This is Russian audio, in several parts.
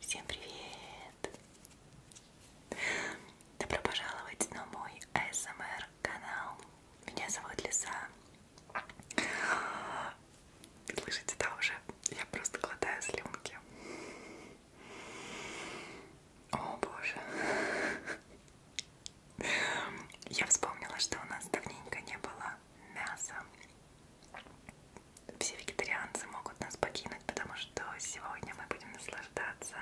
Всем привет! Добро пожаловать на мой ASMR канал. Меня зовут Лиса. Слышите, да, уже я просто глотаю слюнки. О боже. Я вспомнила, что у нас давненько не было мяса все вегетарианцы могут нас покинуть, потому что сегодня мы будем наслаждаться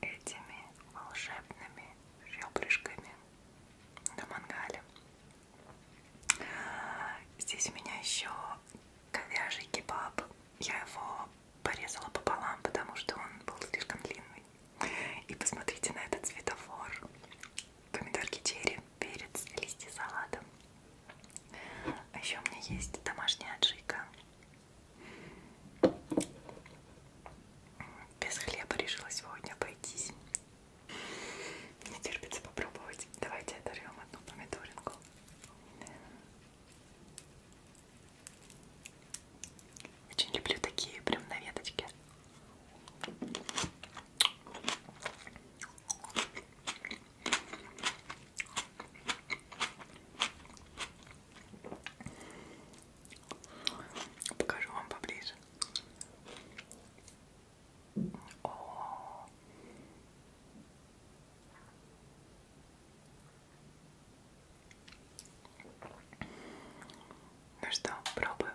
этими волшебными ребрышками на мангале. Здесь у меня еще говяжий кебаб. Я его порезала пополам, потому что он был слишком длинный. И посмотрите на этот светофор помидорки черри, перец, листья салата. А еще у меня есть домашняя аджика. Без хлеба решила сегодня обойтись. Не терпится попробовать. Давайте оторвем одну помидоринку. Очень люблю такие прям на веточке. Покажу вам поближе. О -о -о. Ну что, пробуем.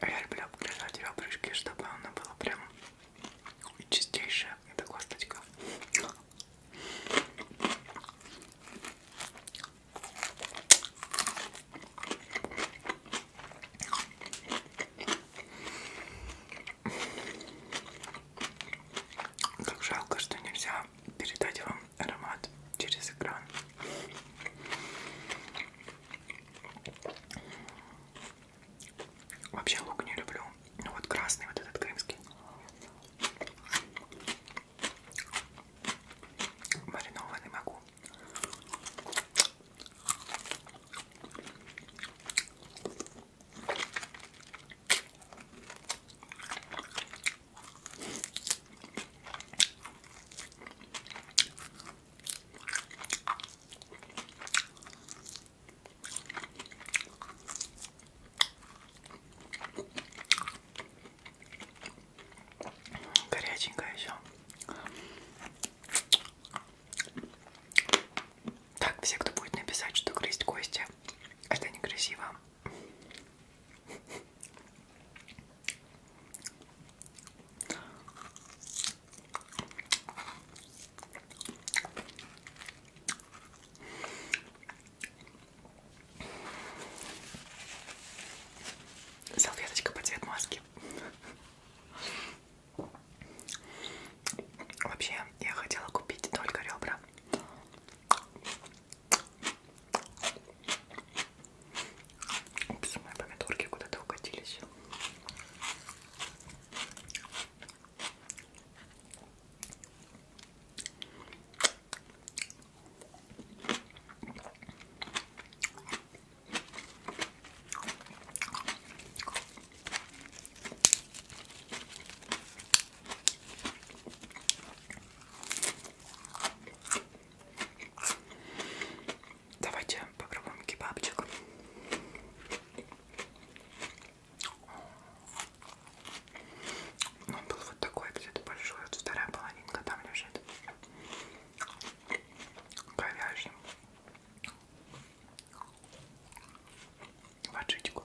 А я люблю держать ребрышки, чтобы она была прям чистейшая. Это косточка. Как жалко, что нельзя передать вам аромат через экран. Вообще лук не люблю. Ну вот красный, вот этот крымский. Маринованный могу. Горяченькое еще. Так, все, кто будет написать, что грызть кости, это некрасиво. Салфеточка по цвет маски. Вообще, я хотела купить только ребра. Упс, мои помидорки куда-то укатились. Давайте попробуем кебабчик. Он был вот такой где-то большой, вот вторая половинка там лежит. Говяжьим. В отжитку.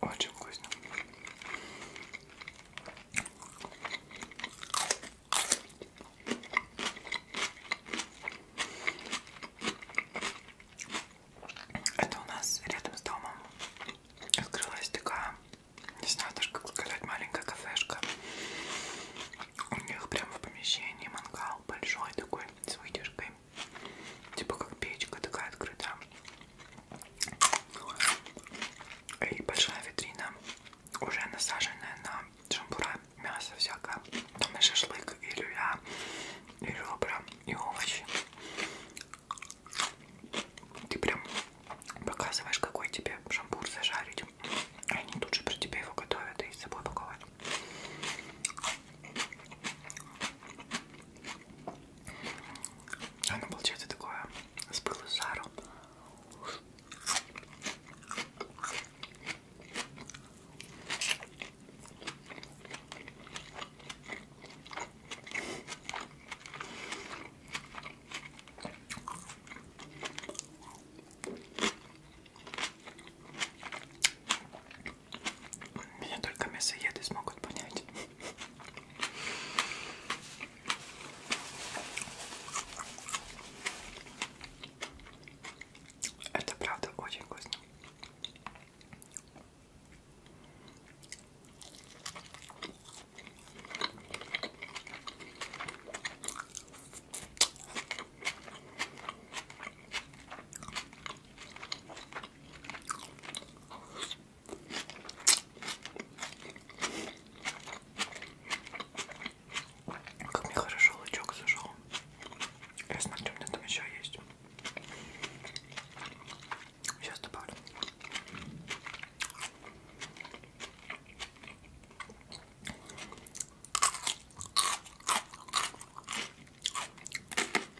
Очень вкусно. Это у нас рядом с домом открылась такая, не знаю даже как сказать, маленькая кафешка. У них прямо в помещении мангал большой такой с вытяжкой. Типа как печка такая открыта. И большая витрина, уже насаженная на шампура, мясо всякое. Там и шашлык, и люля, и ребра, и овощи. Ты прям показываешь, какой тебе шампур зажарить. И они тут же про тебя его готовят и с собой паковать. А оно получается такое с пылу с жару. Меня только мясоеды смогут понять. Это правда очень вкусно. Как мне хорошо лучок зашел. Я смотрю, у меня там еще есть. Сейчас добавлю.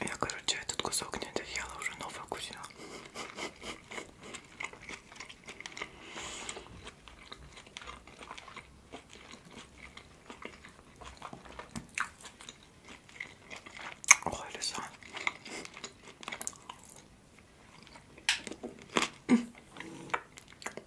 Я, короче, этот кусок не доела, уже новый вкусила. Ой, лиса.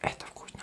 Это вкусно.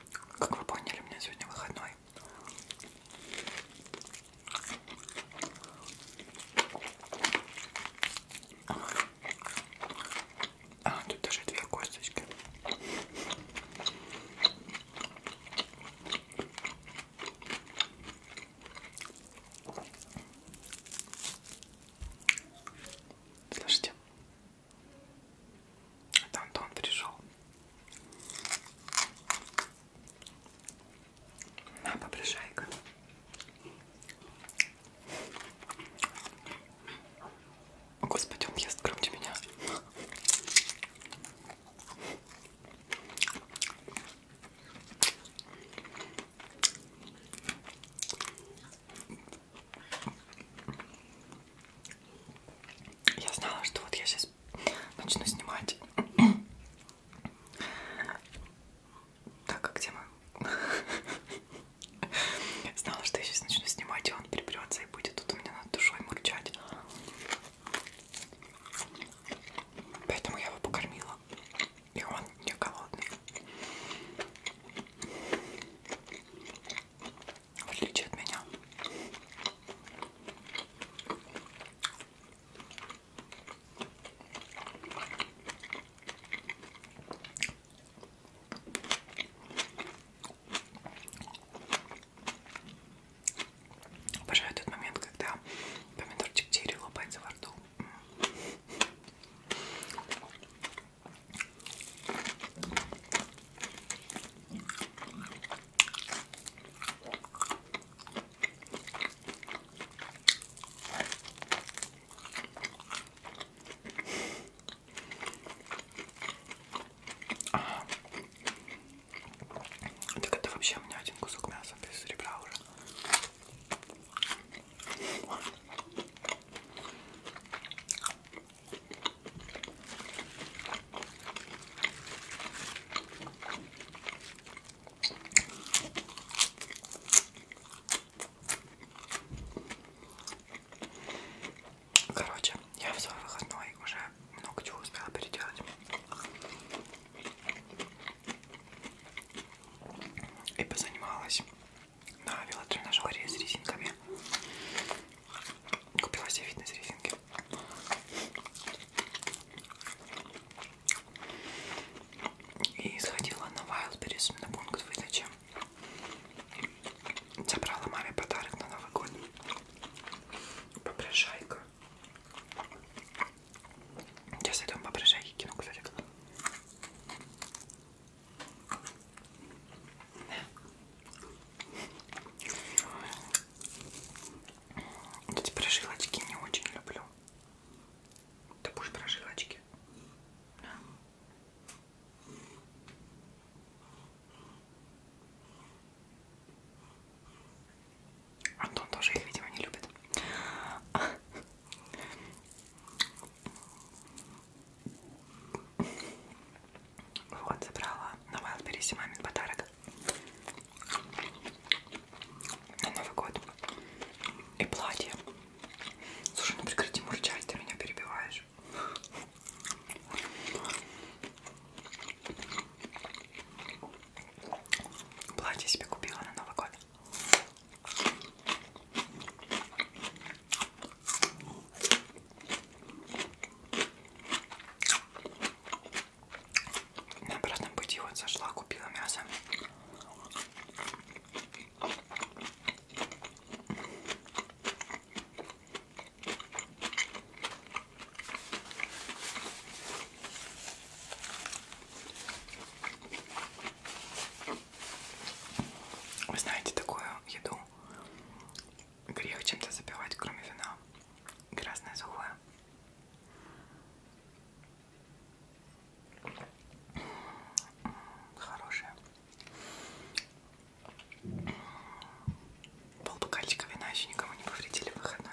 Как вы поняли, у меня сегодня выходной. А, тут даже две косточки. Слышите? Это Антон пришел. На, попрошайка. О, Господи, он ест громче меня. Я знала, что вот я сейчас начну снимать. Так, а где мы? Знала, что я сейчас начну снимать, и он припрется и будет тут у меня над душой мурчать. Поэтому я его покормила. И он не голодный в отличие от меня. Обожаю тот момент, когда помидорчик черри лопается во рту. Так это вообще у меня один кусок мяса без ребра уже. Короче, я в свой выходной уже много чего успела переделать. И позанималась на велотренажере с резинками. Купила себе фитнес-резинки. И сходила на Wildberries, на пункт выдачи. Забрала маме подарок на Новый год. Попрошайка. Сейчас идем попрошайки кину, кстати. Эти прожилочки не очень люблю. Ты будешь прожилочки? Да. Антон тоже их, видимо, не любит. Вот, забрала на Wildberries мамин подарок на Новый год. И платье. Слушай, ну прекрати мурчать, ты меня перебиваешь. Платье себе купила на Новый год. На обратном пути вот зашла, купила мясо. Вы знаете такую еду? грех чем-то запивать, кроме вина. Красное сухое. Хорошее. Пол бокальчика вина еще никому не повредили в выходной.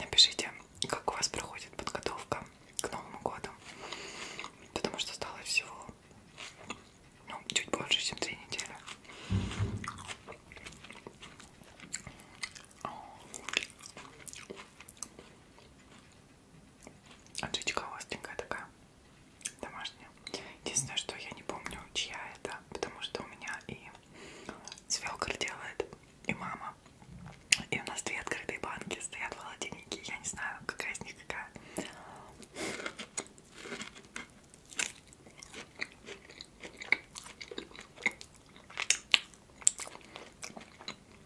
Напишите, как у вас проходит подготовка к Новому году, потому что стало всего ну, чуть больше, чем три недели. А Отжичка остренькая такая, домашняя. Единственное, что я не помню, чья это, потому что у меня и свекр делает, и мама. И у нас две открытые банки стоят в холодильнике. Я не знаю, какая из них какая.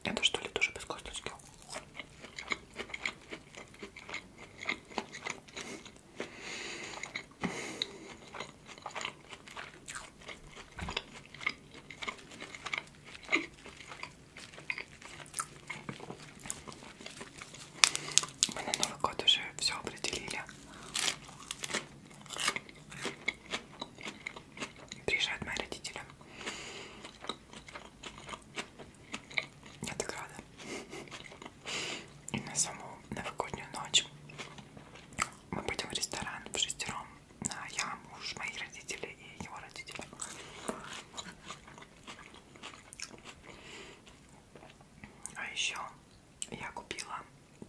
Это что ли тоже без косточки? Мы на Новый год уже все определили. Приезжают мои родители. Я так рада. И на саму новогоднюю ночь мы пойдем в ресторан в шестером. Я, муж, мои родители и его родители. А еще я купила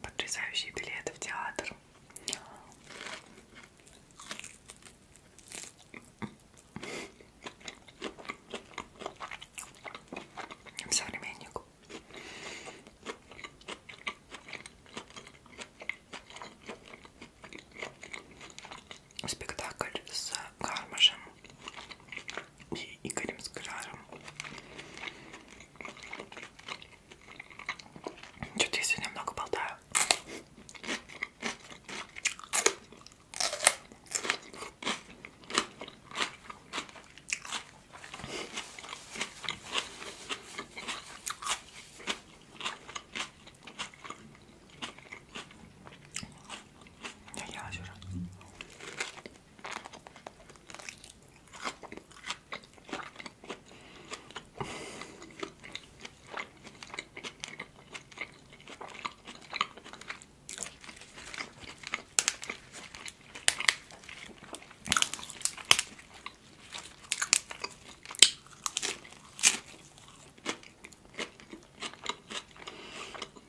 потрясающие билеты в театр. Современник. Спектакль с Гармашем и Игорем Скляжем. Что-то я сегодня много болтаю. Я елась уже.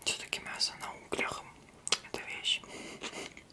Все-таки мясо на углях это вещь.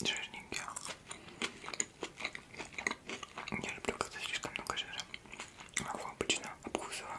жирненькие. Я люблю, когда слишком много жира. Его а обычно обкусываю.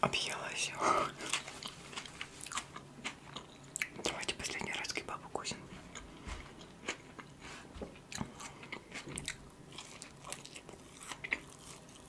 Объелась. Давайте последний раз кебаб укусим.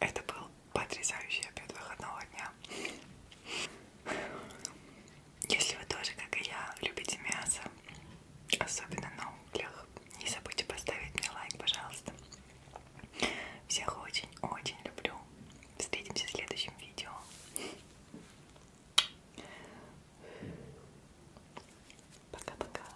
Это был потрясающий обед выходного дня. Если вы тоже, как и я, любите мясо, особенно на углях, не забудьте поставить мне лайк, пожалуйста. Всех очень-очень люблю. Встретимся в следующем видео. Пока-пока.